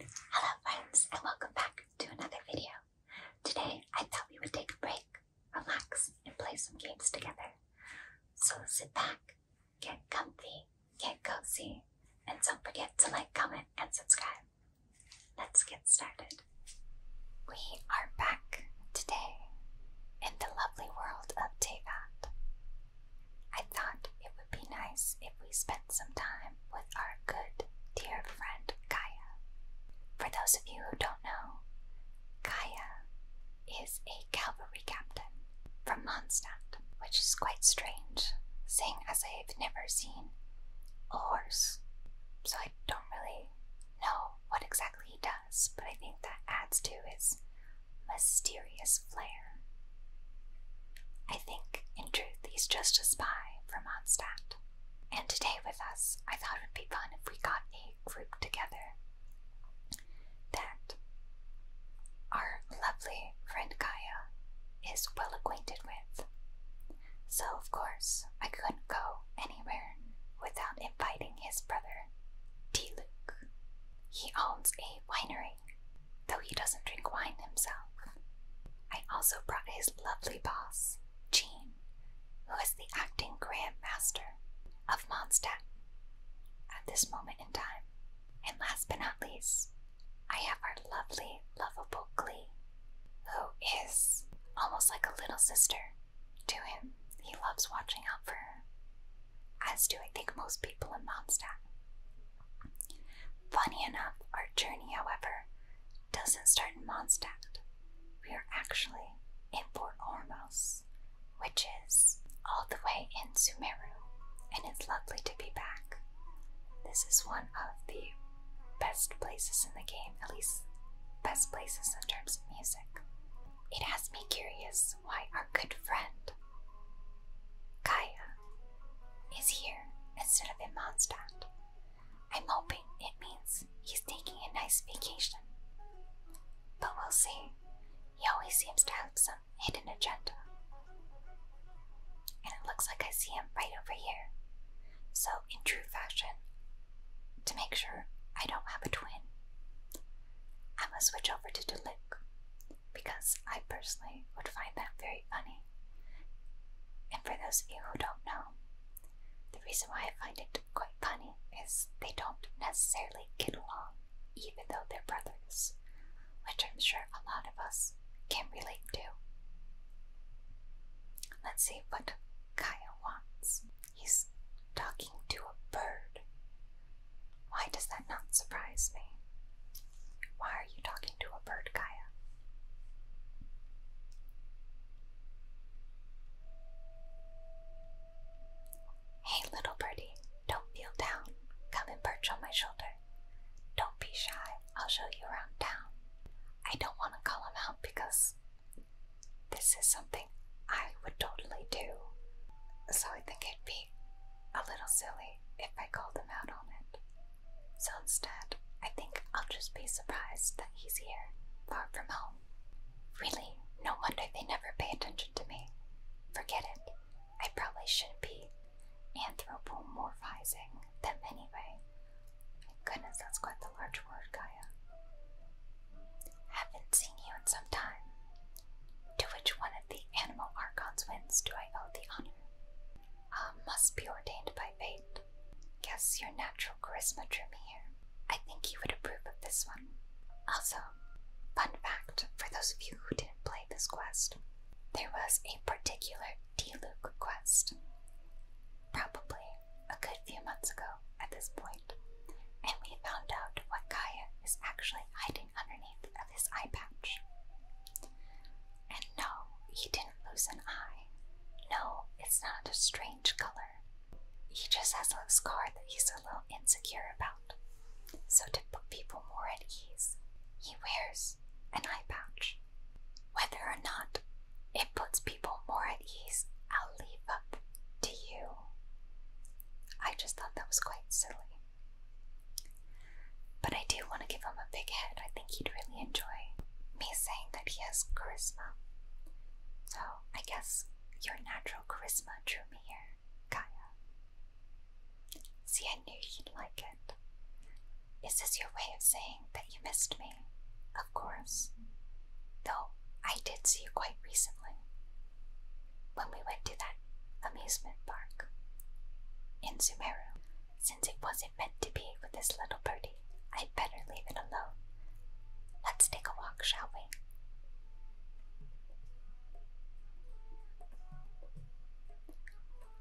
Hello friends and welcome back to another video. Today I thought we would take a break, relax, and play some games together. So sit back, get comfy, get cozy, and don't forget to like, comment, and subscribe. Let's get started. We are back today in the lovely world of Tevat. I thought it would be nice if we spent some time with our good, dear friend Gaia. For those of you who don't know, Gaia is a cavalry captain from Mondstadt, which is quite strange, seeing as I've never seen a horse. So I don't really know what exactly he does, but I think that adds to his mysterious flair. I think, in truth, he's just a spy from Mondstadt. And today with us, I thought it would be fun if we got a group together that our lovely friend Kaya is well acquainted with. So, of course, I couldn't go anywhere without inviting his brother, D. Luke. He owns a winery though he doesn't drink wine himself. I also brought his lovely boss, Jean, who is the acting Grand Master of Monstat at this moment in time. And last but not least, I have our lovely, lovable Glee, who is almost like a little sister to him. He loves watching out for her, as do I think most people in Monstat. Funny enough, our journey, however, doesn't start in Mondstadt. We are actually in Fort Ormos, which is all the way in Sumeru, and it's lovely to be back. This is one of the best places in the game, at least best places in terms of music. It has me curious why our good friend Kaya is here instead of in Mondstadt. I'm hoping it means he's taking a nice vacation. But we'll see. He always seems to have some hidden agenda. And it looks like I see him right over here. So, in true fashion, to make sure I don't have a twin, I'm gonna switch over to Diluc because I personally would find that very funny. And for those of you who don't know, the reason why I find it quite funny is they don't necessarily get along, even though they're brothers, which I'm sure a lot of us can relate to. Let's see what Kaya wants. He's talking to a bird. Why does that not surprise me? Why are you talking to a bird, Gaia. Hey, little birdie, don't feel down. Come and perch on my shoulder. Don't be shy, I'll show you around town. I don't want to call him out because this is something I would totally do. So I think it'd be a little silly if I called him out on it. So instead, I think I'll just be surprised that he's here, far from home. Really, no wonder they never pay attention to me. Forget it. I probably shouldn't be anthropomorphizing them anyway. goodness, that's quite the large word, Gaia. Haven't seen you in some time. To which one of the animal archons wins do I owe the honor? Ah, must be ordained by fate. Guess your natural charisma drew me here. I think you would approve of this one. Also, fun fact for those of you who didn't play this quest, there was a particular D. Luke quest, probably a good few months ago at this point, and we found out what Kaya is actually hiding underneath of his eye patch. And no, he didn't lose an eye. No, it's not a strange color. He just has a scar that he's a little insecure about. So, to put people more at ease, he wears an eye patch. Whether or not it puts people more at ease, I'll leave up to you. I just thought that was quite silly. But I do want to give him a big head. I think he'd really enjoy me saying that he has charisma. So I guess your natural charisma drew me here, Kaya. See, I knew you'd like it. Is this your way of saying that you missed me? Of course. Though I did see you quite recently when we went to that amusement park in Sumeru. Since it wasn't meant to be with this little birdie, I'd better leave it alone. Let's take a walk, shall we?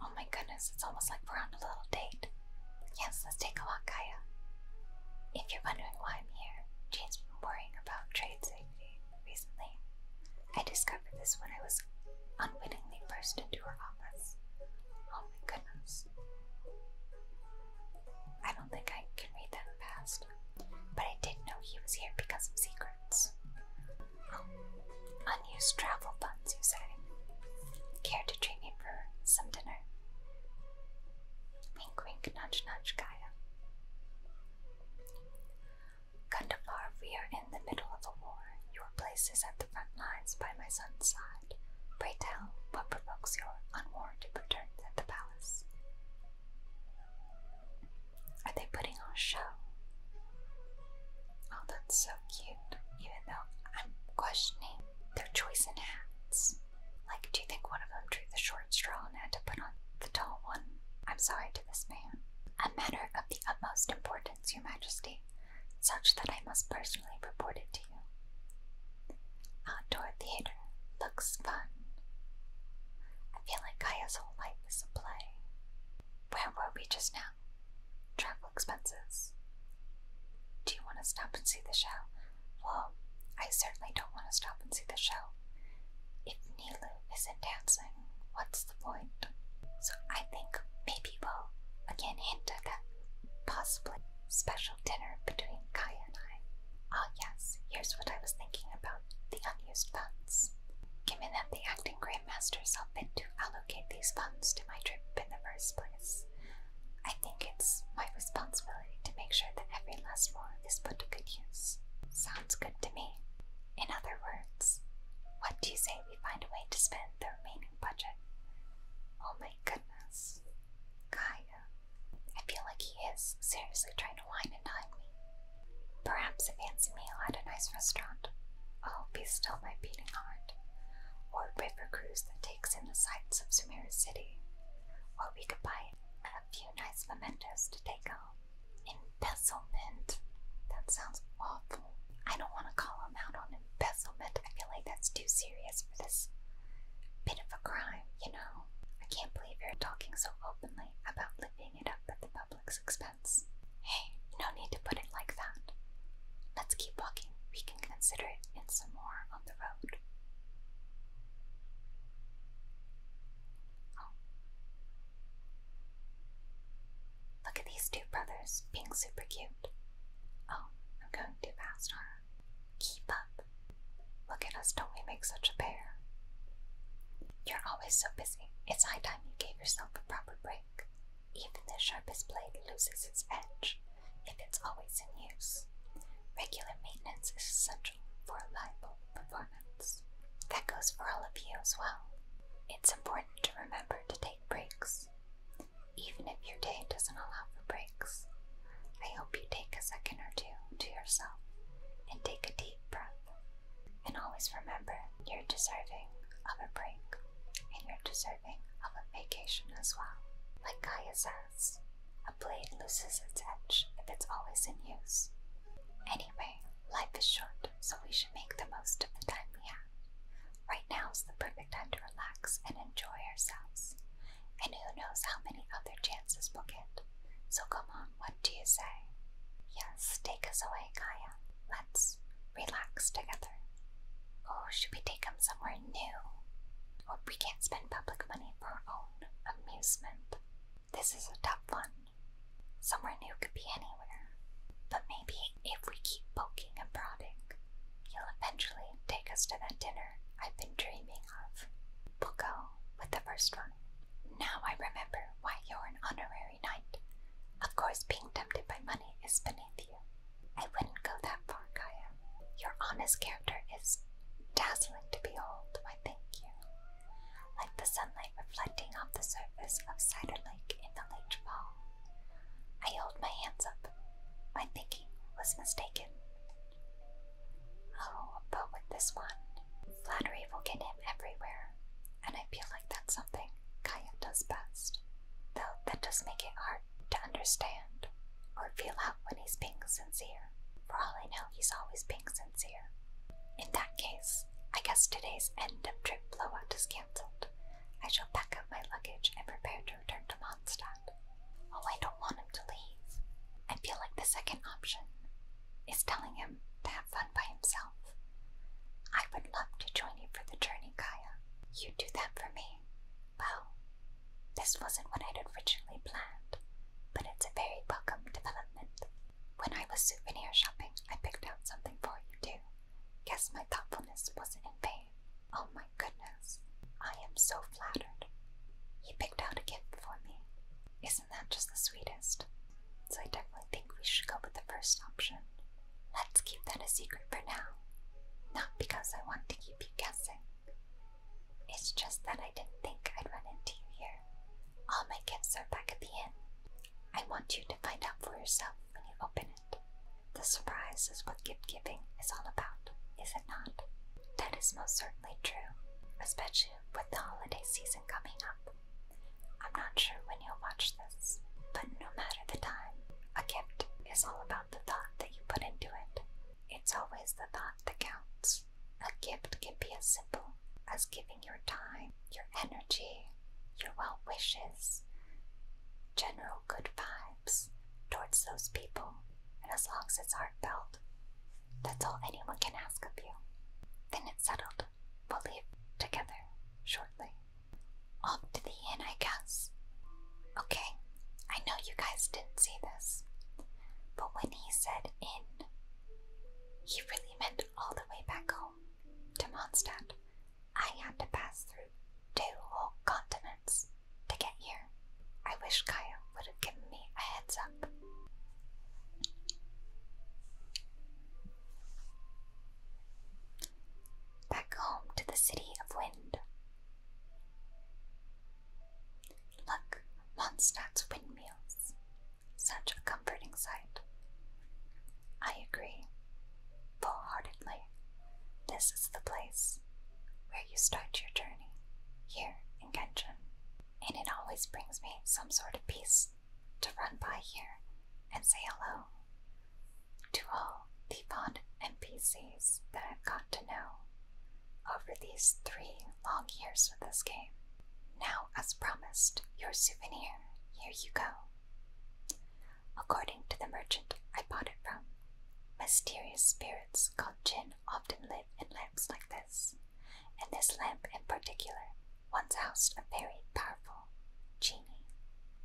Oh my goodness, it's almost like we're on a little date. Yes, let's take a walk, Kaya. If you're wondering why I'm here, Jane's been worrying about trade safety recently. I discovered this when I was unwittingly burst into her office. Oh my goodness. I don't think I can read that fast, but I did know he was here because of secrets. Oh, unused travel funds, you say? Care to treat me for some dinner? Wink, wink, nudge, nudge, Gaia. Kandapar, we are in the middle of a war. Your place is at the front lines by my son's side. Pray tell what provokes your unwarranted return at the palace. Are they putting on a show? Oh, that's so cute. Even though I'm questioning their choice in hats. Like, do you think one of them drew the short straw and had to put on the tall one? I'm sorry to this man. A matter of the utmost importance, Your Majesty, such that I must personally report it to you. Outdoor theater looks fun. I feel like Kaya's whole life is a play. Where were we just now? Travel expenses. Do you want to stop and see the show? Well, I certainly don't want to stop and see the show. If Nilu isn't dancing, what's the point? So I think maybe we'll again hint at that possibly special dinner between Kai and I. Ah, oh, yes, here's what I was thinking about the unused funds. Given that the acting grandmaster saw fit to allocate these funds to my trip in the first place, I think it's my responsibility to make sure that every last one is put to good use. Sounds good to me. In other words, what do you say maybe find a way to spend the remaining budget. Oh my goodness. Kaya. I feel like he is seriously trying to wine and dine me. Perhaps a fancy meal at a nice restaurant. Oh, be still my beating heart. Or a river cruise that takes in the sights of Sumeru City. Or we could buy a few nice mementos to take home. In embezzlement. That sounds awful. I don't want to call him out on embezzlement. I feel like that's too serious for this bit of a crime, you know? I can't believe you're talking so openly about living it up at the public's expense. Hey, no need to put it like that. Let's keep walking. We can consider it in some more on the road. Oh. Look at these two brothers being super cute. Oh, I'm going too fast, huh? Keep up. Look at us, don't we make such a pair? You're always so busy. It's high time you gave yourself a proper break. Even the sharpest blade loses its edge if it's always in use. Regular maintenance is essential for reliable performance. That goes for all of you as well. It's important to remember to take breaks. Even if your day doesn't allow for breaks, I hope you take a second or two to yourself and take a deep breath. And always remember you're deserving of a break and you're deserving of a vacation as well. Like Kaya says, a blade loses its edge if it's always in use. Anyway, life is short so we should make the most of the time we have. Right now is the perfect time to relax and enjoy ourselves. And who knows how many other chances we'll get. So come on, what do you say? Yes, take us away, Kaya. Let's relax together. Oh, should we take them somewhere new? Or we can't spend public money for our own amusement. This is a tough one. Somewhere new could be anywhere. But maybe if we keep poking and prodding, he'll eventually take us to that dinner I've been dreaming of. We'll go with the first one. Now I remember why you're an honorary knight. Of course, being tempted by money is beneath you. I wouldn't go that far, Kaya. Your honest character is dazzling to behold, I thank you. Like the sunlight reflecting off the surface of Cider Lake in the late fall. I hold my hands up. My thinking was mistaken. Oh, but with this one, flattery will get him everywhere, and I feel like that's something Kaya does best. Though that does make it hard to understand or feel out when he's being sincere. For all I know, he's always being sincere. In that case, I guess today's end of trip blowout is cancelled. I shall pack up my luggage and prepare to return to Mondstadt. Oh, I don't want him to leave. I feel like the second option is telling him to have fun by himself. I would love to join you for the journey, Kaya. You do that for me. Well, this wasn't what I'd originally planned, but it's a very welcome development. When I was souvenir shopping, I picked out something for you too. Guess my thoughtfulness wasn't in vain. Oh my goodness, I am so flattered. He picked out a gift for me. Isn't that just the sweetest? So I definitely think we should go with the first option. Let's keep that a secret for now. Not because I want to keep you guessing. It's just that I didn't think I'd run into you here. All my gifts are back at the inn. I want you to find out for yourself when you open the surprise is what gift giving is all about, is it not? That is most certainly true, especially with the holiday season coming up. I'm not sure when you'll watch this, but no matter the time, a gift is all about the thought that you put into it. It's always the thought that counts. A gift can be as simple as giving your time, your energy, your well wishes, general good vibes towards those people, and as long as it's heartfelt, that's all anyone can ask of you. Then it's settled. We'll leave together shortly. Off to the inn, I guess. Okay, I know you guys didn't see this, but when he said inn, he really meant all the way back home to Mondstadt I had to pass through two whole continents to get here. I wish Kaya would have given me a heads up. Back home to the city of wind. Look, Mondstadt's windmills. Such a comforting sight. I agree wholeheartedly. This is the place where you start your journey here in Genshin, and it always brings me some sort of peace to run by here and say hello to all the fond NPCs that I've got to know over these three long years of this game. Now, as promised, your souvenir, here you go. According to the merchant I bought it from, mysterious spirits called jinn often live in lamps like this, and this lamp in particular once housed a very powerful genie.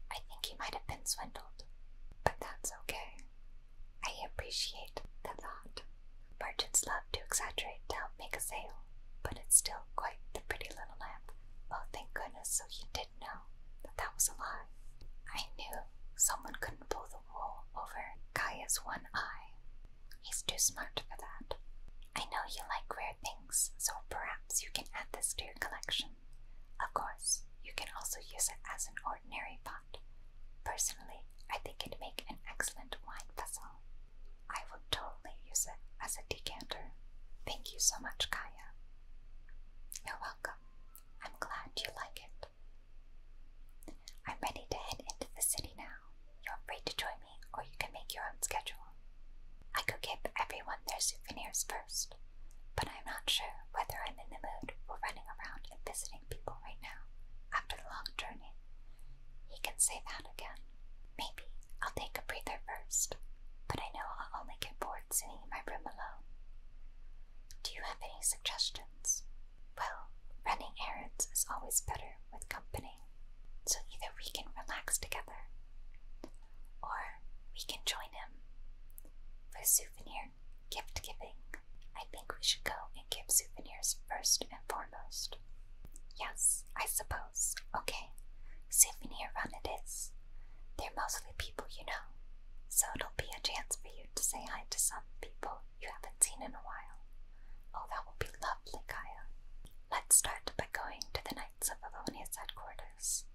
I think he might have been swindled, but that's okay. I appreciate the thought. Merchants love to exaggerate to help make a sale, but it's still quite the pretty little lamp. Oh, thank goodness, so you did did that was a lie. I knew someone couldn't pull the wool over Kaya's one eye. He's too smart for that. I know you like rare things, so perhaps you can add this to your collection. Of course, you can also use it as an ordinary pot. Personally, I think it'd make an excellent wine vessel. I would totally use it as a decanter. Thank you so much, Kaya. You're welcome. I'm glad you like it. I'm ready to head into the city now. You're free to join me, or you can make your own schedule. I could give everyone their souvenirs first, but I'm not sure whether I'm in the mood for running around and visiting people right now after the long journey. He can say that again. Maybe I'll take a breather first, but I know I'll only get bored Sitting in my room alone. Do you have any suggestions? Well, running errands is always better with company, so either we can relax together or we can join him. For souvenir gift giving, I think we should go and give souvenirs first and foremost. Yes, I suppose. Okay, see goes. Okay, souvenir run it is. They're mostly people you know, so it'll be a chance for you to say hi to some people you haven't seen in a while. Oh, that will be lovely, Kaya. Let's start by going to the Knights of Avonia's headquarters.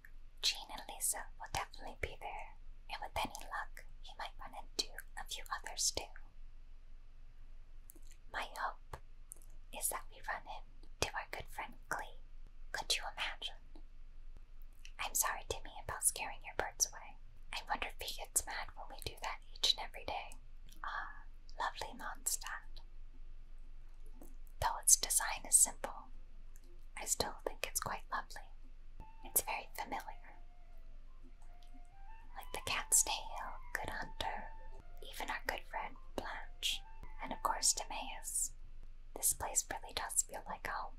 Jean and Lisa will definitely be there, and with any luck, you might run into a few others too. My hope is that we run in to our good friend Glee, Could you imagine? I'm sorry, Timmy, about scaring your birds away. I wonder if he gets mad when we do that each and every day. Ah, lovely Mondstadt. Though its design is simple, I still think it's quite lovely. It's very familiar. Like the cat's tail, Good Hunter, even our good friend Blanche, and of course Timaeus. This place really does feel like home.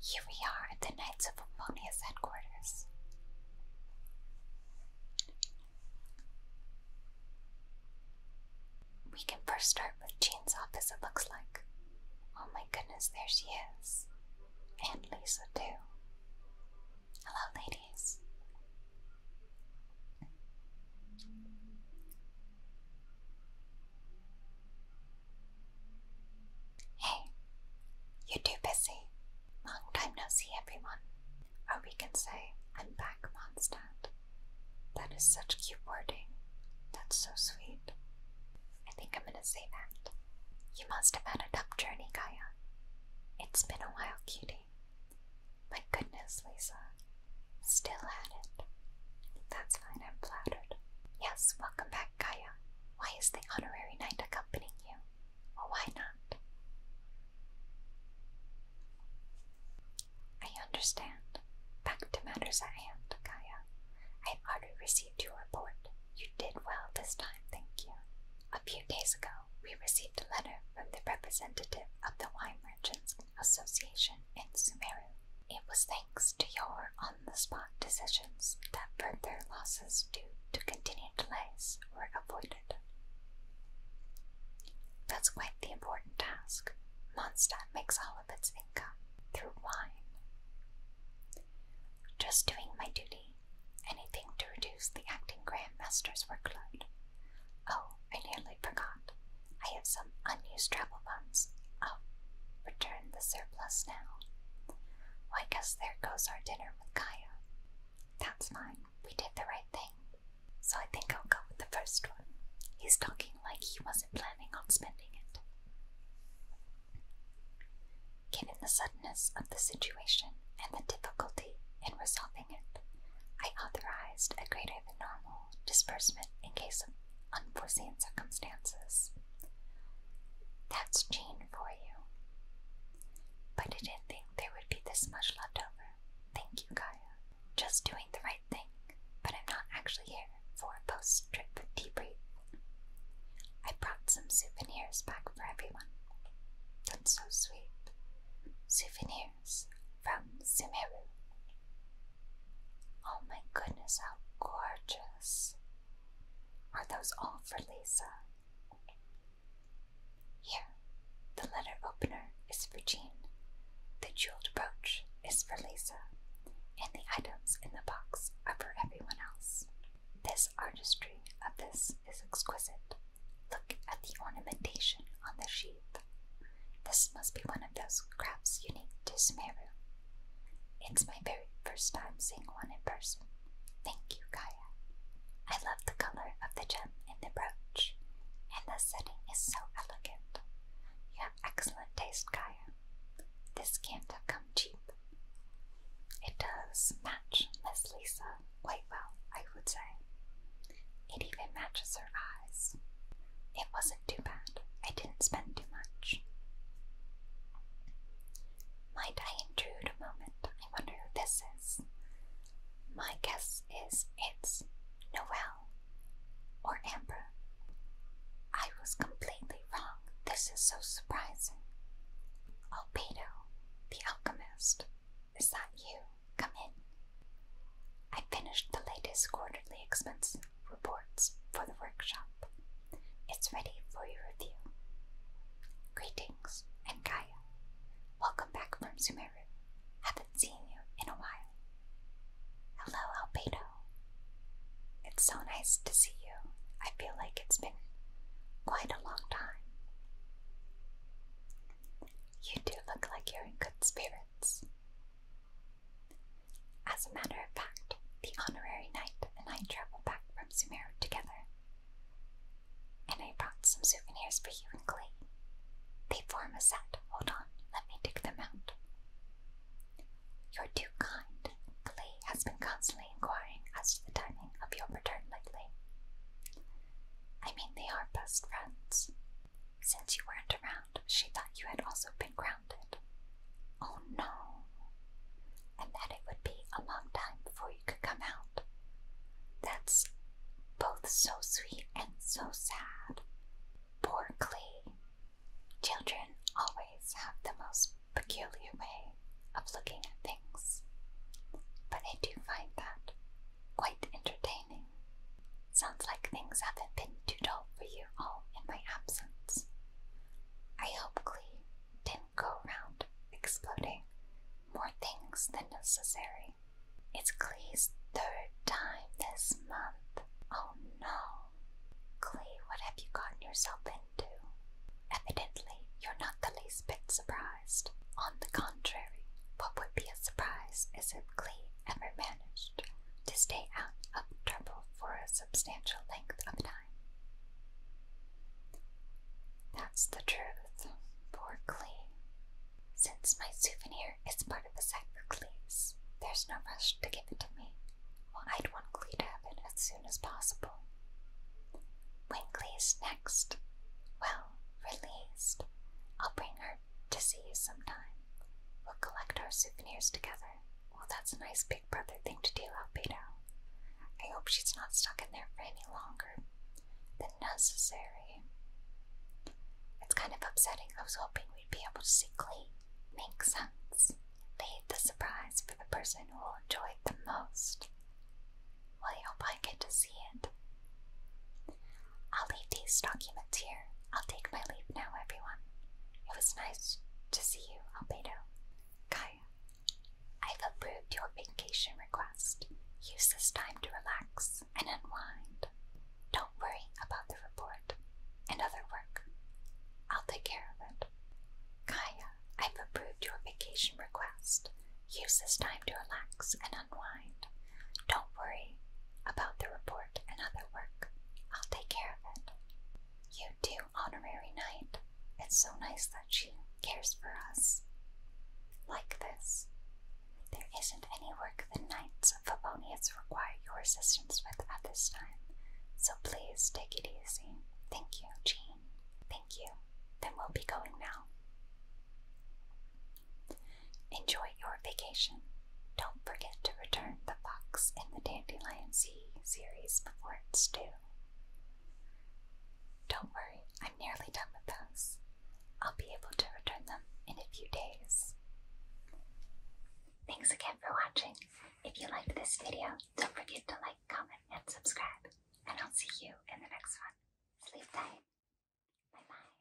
Here we are at the Knights of Ammonia's headquarters. We can first start with Jean's office, it looks like. Oh my goodness, there she is. And Lisa, too. Hello, ladies. Hey, you're too busy. Long time no see, everyone. Or we can say, I'm back, Mondstadt. That is such cute wording. That's so sweet. I think I'm gonna say that. You must have had a tough journey, Gaia. It's been a while, cutie. My goodness, Lisa, Still had it. That's fine, I'm flattered. Yes, welcome back, Gaia. Why is the honorary knight accompanying you? Well, why not? I understand. Back to matters at hand, Gaia. I have already received your report. You did well this time, thank you. A few days ago, we received a letter from the representative of the wine merchants Association in Sumeru. It was thanks to your on the spot decisions that further losses due to continued delays were avoided. That's quite the important task. Mondstadt makes all of its income through wine. Just doing my duty, anything to reduce the acting Grand Master's workload. Oh, I nearly forgot. I have some unused travel funds. I'll return the surplus now. I guess there goes our dinner with Kaya. That's fine. We did the right thing. So I think I'll go with the first one. He's talking like he wasn't planning on spending it. Given the suddenness of the situation and the difficulty in resolving it, I authorized a greater than normal disbursement in case of unforeseen circumstances. That's Gene for you. But I didn't think there would be this much left over. Thank you, Kaya. Just doing the right thing, but I'm not actually here for a post trip debrief. I brought some souvenirs back for everyone. That's so sweet. Souvenirs from Sumeru. Oh my goodness, how gorgeous! Are those all for Lisa? Here, the letter opener is for Jean, the jeweled brooch is for Lisa, and the items in the box are for everyone else. This artistry of this is exquisite. Look at the ornamentation on the sheet. This must be one of those crabs unique to Sumeru. It's my very first time seeing one in person. Thank you, Kaya. I love the color of the gem in the brooch, and the setting is so elegant. You have excellent taste, Kaya. This can't have come cheap. It does match Miss Lisa quite well, I would say. It even matches her eyes. It wasn't too bad. I didn't spend too much. Might I intrude a moment? I wonder who this is. My guess is it's Noel or Amber. I was completely wrong. This is so surprising. Albedo, the alchemist, is that you? Come in. I finished the latest quarterly expense reports for the workshop. It's ready for your review. Greetings, and Kaya, Welcome back from Sumeru. Haven't seen you in a while. Hello, Albedo. It's so nice to see you. I feel like it's been quite a long time. You do look like you're in good spirits. As a matter of fact, the honorary knight and I traveled back from Sumeru together. And I brought some souvenirs for you and Clay. They form a set. Hold on, let me dig them out. You're too kind. Clay has been constantly inquiring as to the timing of your return lately. I mean, they are best friends. Since you weren't around, she thought you had also been grounded. Oh no! And that it would be a long time before you could come out. That's both so sweet and so sad. Poor Clee. Children always have the most peculiar way of looking at things, but I do find that quite entertaining. Sounds like things haven't been too dull for you all in my absence. I hope Clee didn't go round exploding more things than necessary. It's Clee's third time this month. Oh no. Clee, what have you gotten yourself into? Evidently, you're not the least bit surprised. On the contrary, what would be a surprise is if Clee ever managed to stay out of trouble for a substantial length of time. That's the truth, for Clee. Since my souvenir is part of the set for there's no rush to give it to me. Well, I'd want Clee to have it as soon as possible. When Clee's next, well, released, I'll bring her to see you sometime. We'll collect our souvenirs together. Well, that's a nice big brother thing to do, Alberto. I hope she's not stuck in there for any longer than necessary. It's kind of upsetting. I was hoping we'd be able to see Klee. Makes sense. Leave the surprise for the person who will enjoy it the most. Well, I hope I get to see it. I'll leave these documents here. I'll take my leave now, everyone. It was nice to see you, Albedo. Kaya, I've approved your vacation request. Use this time to relax and unwind. Don't worry about the report and other work. I'll take care of it. Kaya, I've approved your vacation request. Use this time to relax and unwind. Don't worry about the report and other work. I'll take care of it. You do honorary knight. It's so nice that she cares for us. Like this. There isn't any work the knights of Favonius require your assistance with at this time, so please take it easy. Thank you, Jean. Thank you. Then we'll be going now. Enjoy your vacation. Don't forget to return the fox in the Dandelion Sea series before it's due. Don't worry, I'm nearly done with those. I'll be able to return them in a few days. Thanks again for watching. If you liked this video, don't forget to like, comment, and subscribe. And I'll see you in the next one. Sleep tight. Bye bye.